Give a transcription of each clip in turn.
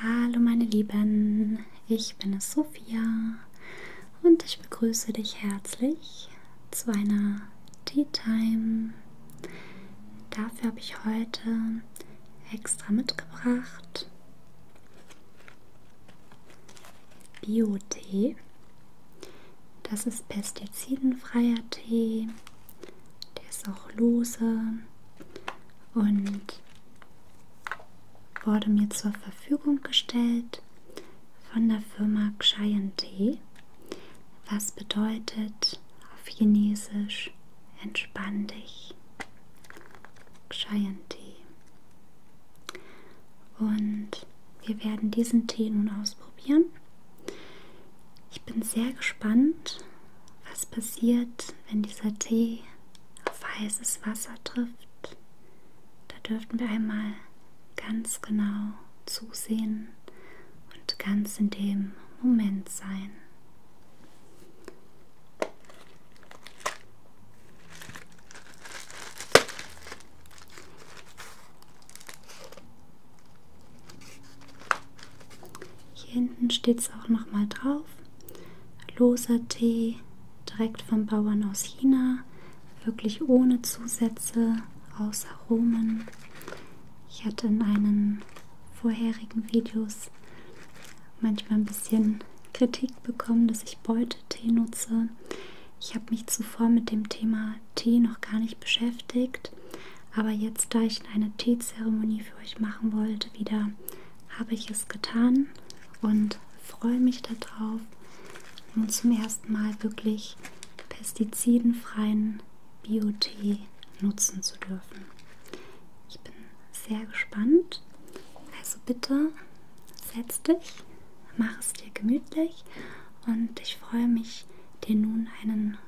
Hallo meine Lieben, ich bin es Sophia und ich begrüße dich herzlich zu einer Tea Time. Dafür habe ich heute extra mitgebracht Bio-Tee das ist pestizidenfreier Tee. Der ist auch lose und wurde mir zur Verfügung gestellt von der Firma Xian Tee, was bedeutet auf Chinesisch entspann dich. Xian Tee. Und wir werden diesen Tee nun ausprobieren ich bin sehr gespannt, was passiert, wenn dieser Tee auf heißes Wasser trifft. Da dürften wir einmal ganz genau zusehen und ganz in dem Moment sein. Hier hinten steht es auch nochmal drauf. Loser Tee, direkt vom Bauern aus China, wirklich ohne Zusätze, außer Aromen. Ich hatte in einen vorherigen Videos manchmal ein bisschen Kritik bekommen, dass ich Beutetee nutze. Ich habe mich zuvor mit dem Thema Tee noch gar nicht beschäftigt. Aber jetzt, da ich eine Teezeremonie für euch machen wollte, wieder habe ich es getan und freue mich darauf, nun zum ersten Mal wirklich pestizidenfreien Biotee nutzen zu dürfen. Ich bin sehr gespannt. Also bitte setz dich mach es dir gemütlich und ich freue mich, dir nun einen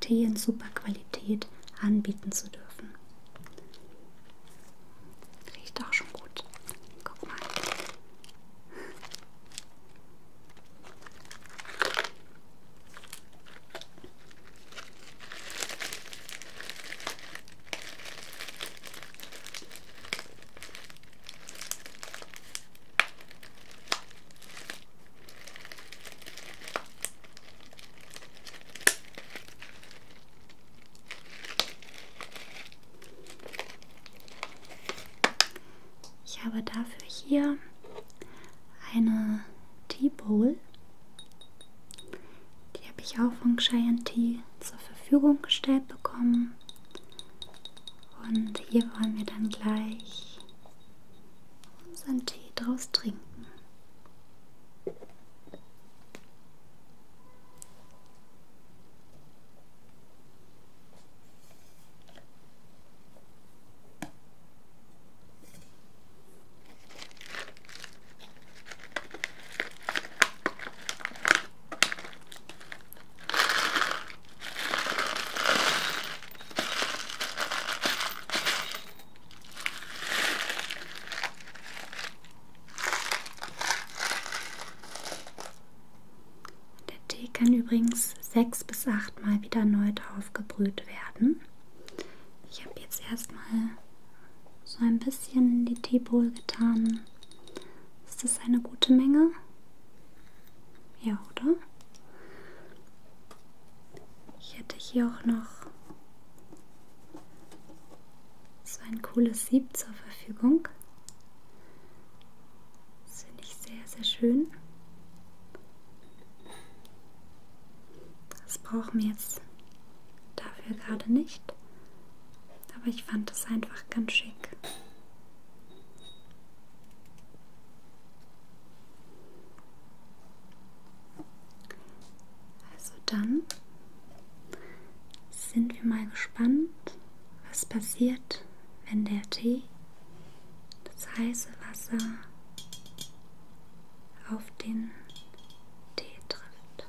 Tee in super Qualität anbieten zu dürfen. Riecht auch schon gut. Guck mal. Ich habe dafür hier eine Tea Bowl. Die habe ich auch von Cheyenne Tea zur Verfügung gestellt bekommen. Und hier wollen wir dann gleich unseren Tee draus trinken. Der Tee kann übrigens sechs bis acht Mal wieder erneut aufgebrüht werden. Ich habe jetzt erstmal so ein bisschen in die Teebowl getan, ist das eine gute Menge? Ja, oder? Ich hätte hier auch noch so ein cooles Sieb zur Verfügung. Das finde ich sehr, sehr schön. Das brauchen wir jetzt dafür gerade nicht. Aber ich fand es einfach ganz schick. Also dann sind wir mal gespannt, was passiert, wenn der Tee, das heiße Wasser, auf den Tee trifft.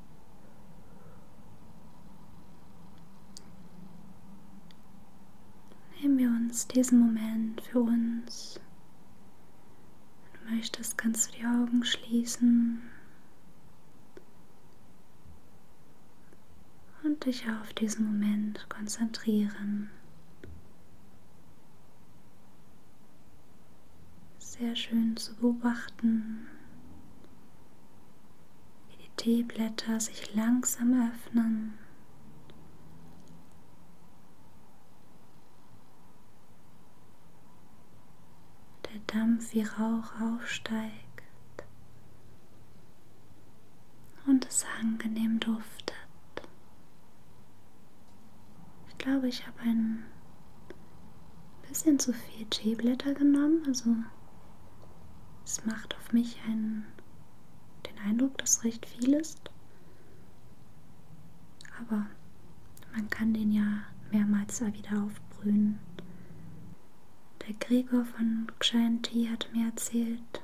Nehmen wir uns diesen Moment für uns. Wenn du möchtest, kannst du die Augen schließen und dich auf diesen Moment konzentrieren sehr schön zu beobachten, wie die Teeblätter sich langsam öffnen. Der Dampf wie Rauch aufsteigt und es angenehm duftet. Ich glaube, ich habe ein bisschen zu viel Teeblätter genommen. Also es macht auf mich einen, den Eindruck, dass recht viel ist. Aber man kann den ja mehrmals wieder aufbrühen. Der Gregor von Xian Ti hat mir erzählt,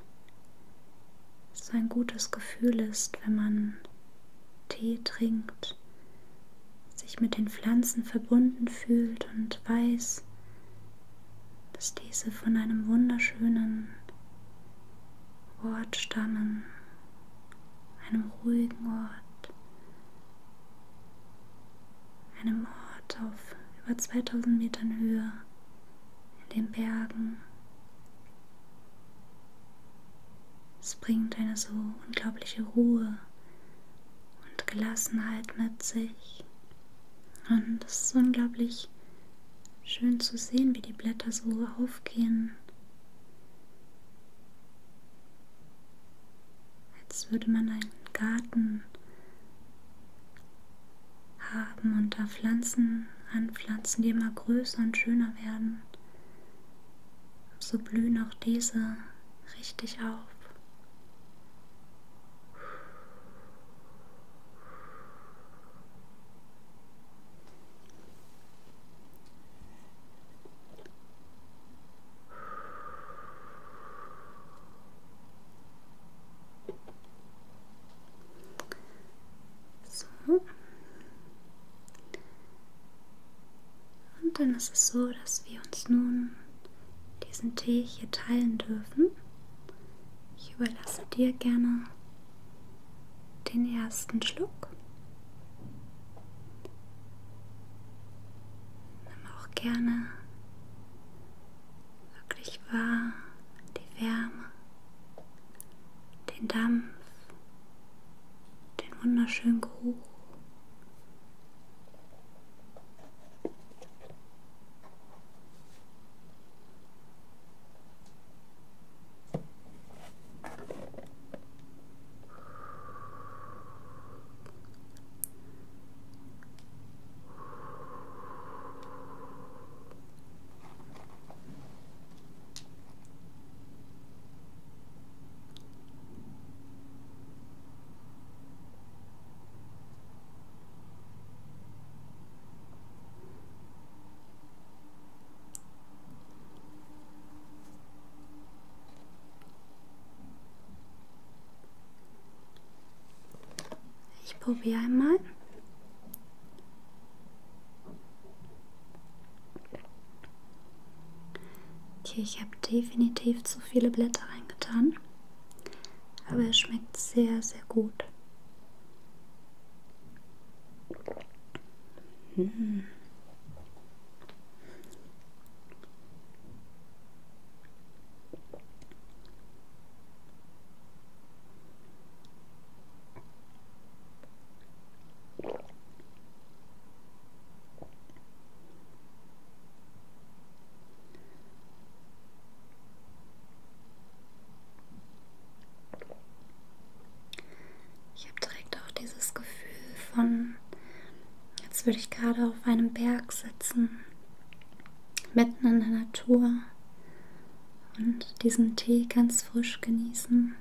dass so ein gutes Gefühl ist, wenn man Tee trinkt und sich mit den Pflanzen verbunden fühlt und weiß, dass diese von einem wunderschönen Ort stammen, einem ruhigen Ort, einem Ort auf über 2000 Metern Höhe in den Bergen. Es bringt eine so unglaubliche Ruhe und Gelassenheit mit sich. Und es ist unglaublich schön zu sehen, wie die Blätter so aufgehen. Als würde man einen Garten haben und da Pflanzen anpflanzen, die immer größer und schöner werden so blühen auch diese richtig auf. So. Und dann ist es so, dass wir uns nun diesen Tee hier teilen dürfen. Ich überlasse dir gerne den ersten Schluck. Nimm auch gerne wirklich wahr die Wärme den Dampf, den wunderschönen Geruch. Ich probiere einmal. Okay, ich habe definitiv zu viele Blätter reingetan, aber er schmeckt sehr, sehr gut. Hm. Ich habe direkt auch dieses Gefühl von, als würde ich gerade auf einem Berg sitzen, mitten in der Natur und diesen Tee ganz frisch genießen.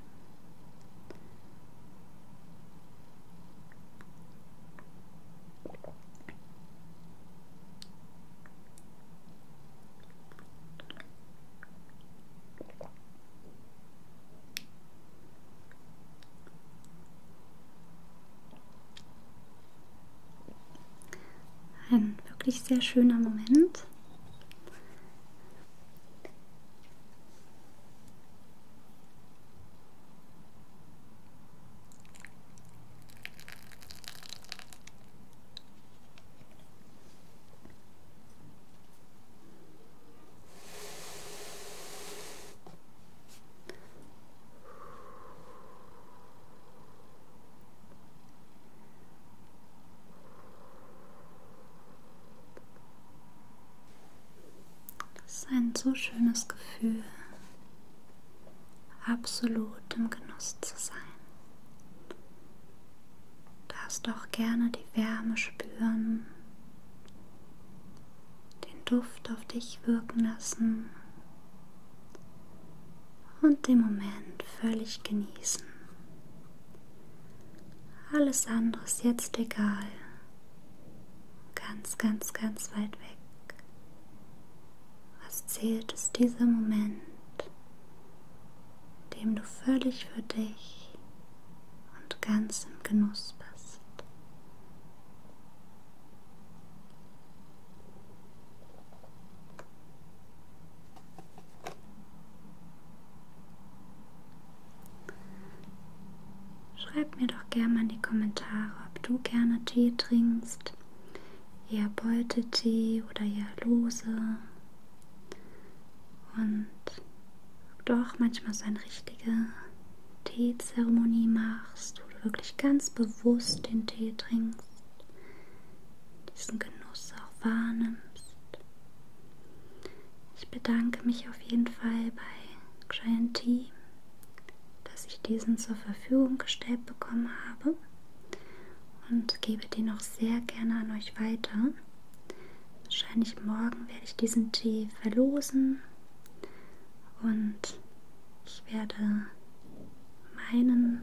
Ein wirklich sehr schöner Moment. Das ist ein so schönes Gefühl, absolut im Genuss zu sein. Du darfst auch gerne die Wärme spüren, den Duft auf dich wirken lassen und den Moment völlig genießen. Alles andere ist jetzt egal. Ganz, ganz, ganz weit weg. Was zählt, ist dieser Moment, in dem du völlig für dich und ganz im Genuss bist. Schreib mir doch gerne mal in die Kommentare, ob du gerne Tee trinkst, eher Beutetee oder eher lose. Und ob du auch manchmal so eine richtige Teezeremonie machst, wo du wirklich ganz bewusst den Tee trinkst diesen Genuss auch wahrnimmst. Ich bedanke mich auf jeden Fall bei Giant Tea, dass ich diesen zur Verfügung gestellt bekommen habe und gebe den auch sehr gerne an euch weiter. Wahrscheinlich morgen werde ich diesen Tee verlosen und ich werde meinen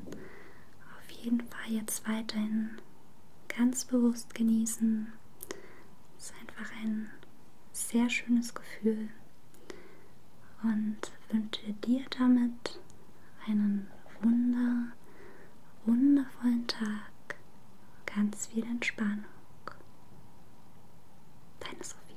auf jeden Fall jetzt weiterhin ganz bewusst genießen. Es ist einfach ein sehr schönes Gefühl und wünsche dir damit einen wunder, wundervollen Tag, ganz viel Entspannung. Deine Sophia.